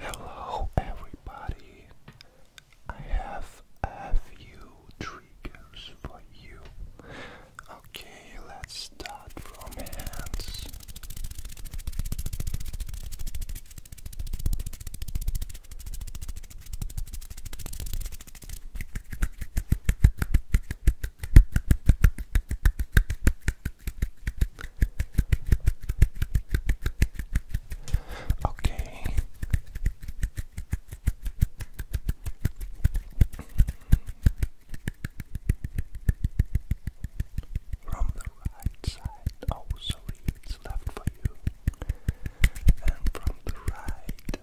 Hello, everybody. I have a few triggers for you. Okay, let's start from hands. Okay. From the right side, oh it's left for you. And from the right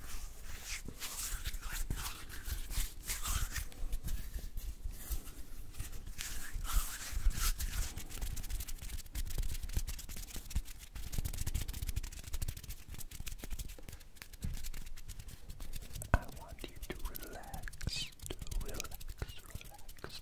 I want you to relax, relax, relax,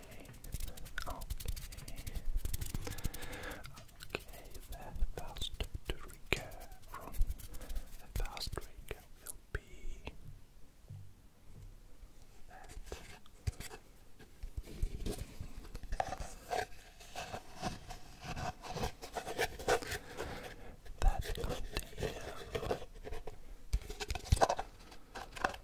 okay. Okay, the fast trigger from the fast trigger will be that. That container. Let's stop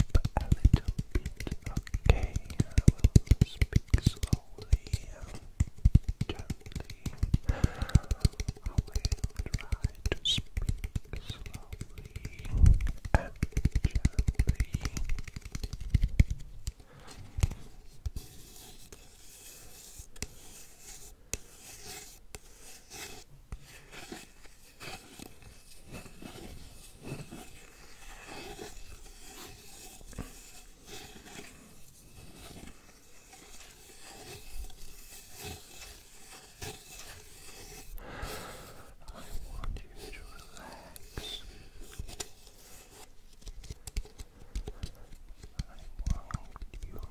a little bit, okay? I will speak slowly and gently. I will try to speak slowly and gently. I want you to relax you to relax. Relax.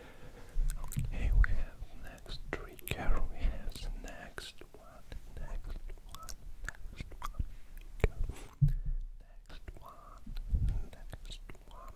Okay, we have next three carol. We have the next one, next one, next one, go. next one, next one.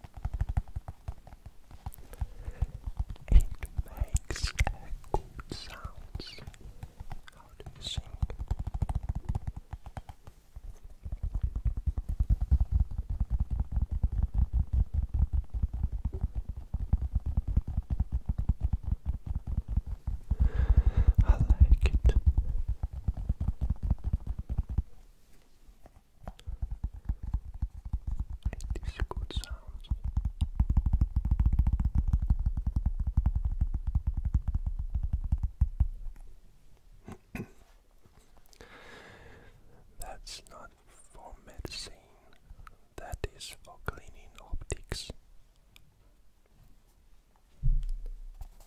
It makes good sounds. How do you think? I like it. It is good sound. That's not for medicine, that is for cleaning optics.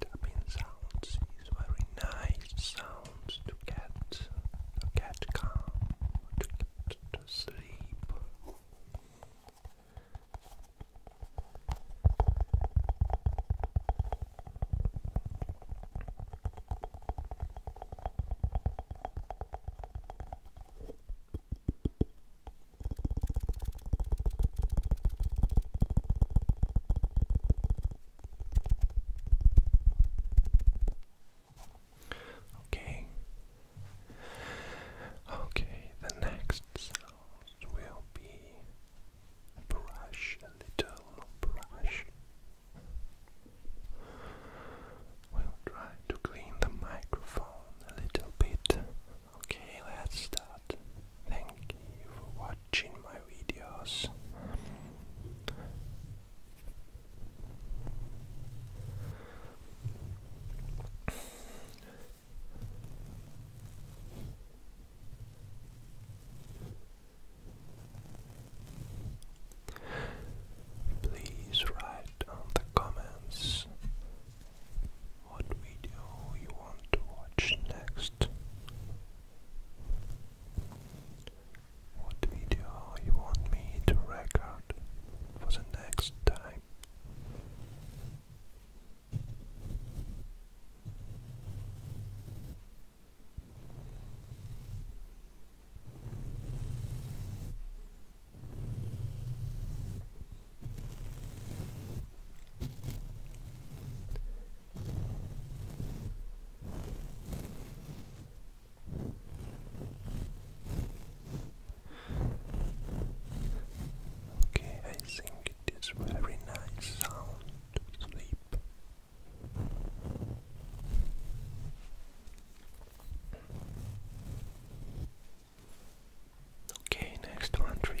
Tapping sounds is very nice sounds to get to get calm, to get to sleep. Okay. Okay, the next will be brush, a little brush. We'll try to clean the microphone a little bit. Okay, let's start. Thank you for watching my videos. Please write on the comments what video you want to watch next. What video you want me to record for the next time? Okay, I think it is very nice sound to sleep. Okay, next one trigger.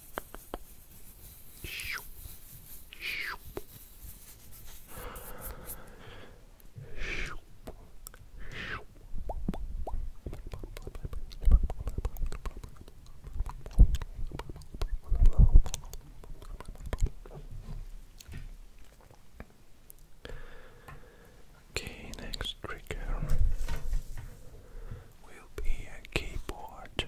Okay, next trigger will be a keyboard.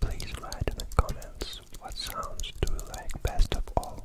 Please write in the comments what sounds do you like best of all.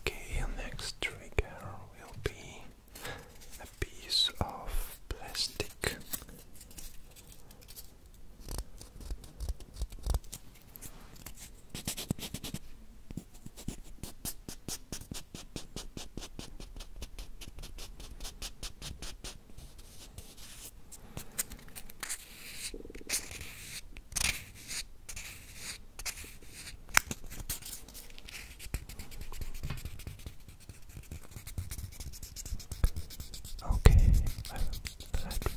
Okay, next trigger will be a piece of plastic. Okay, I will to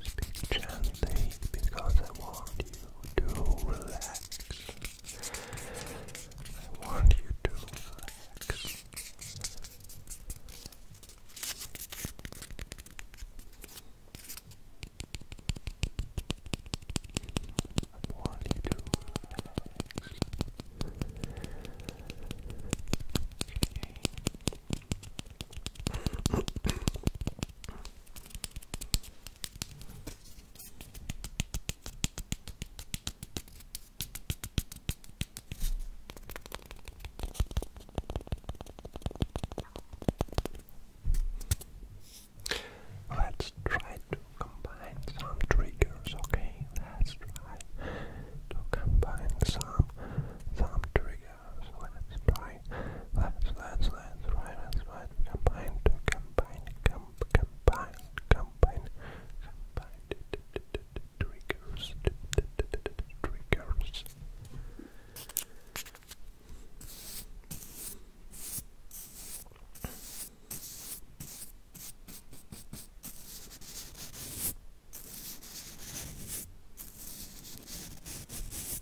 speak gently because I warned you to relax. I want you to relax. I want you to Let's try to combine some triggers, okay? Let's try to combine some some triggers. Let's try sorry. That's, that's, that's right, that's right. Combine, combine, com combine, combine, combine, triggers, triggers.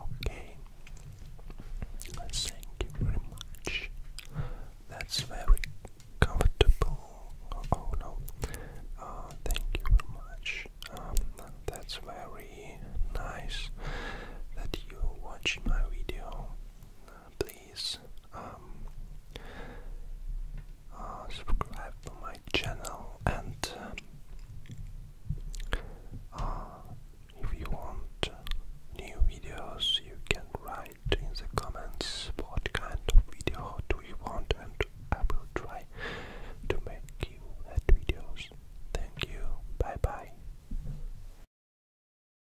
Okay, thank you very much. That's very comfortable. Oh, no, uh, thank you very much. Um, that's very nice that you watch my video. Uh, please please um, uh, subscribe to my channel and uh, uh, if you want new videos you can write in the comments what kind of video do you want and I will try to make you videos. Thank you. Bye bye.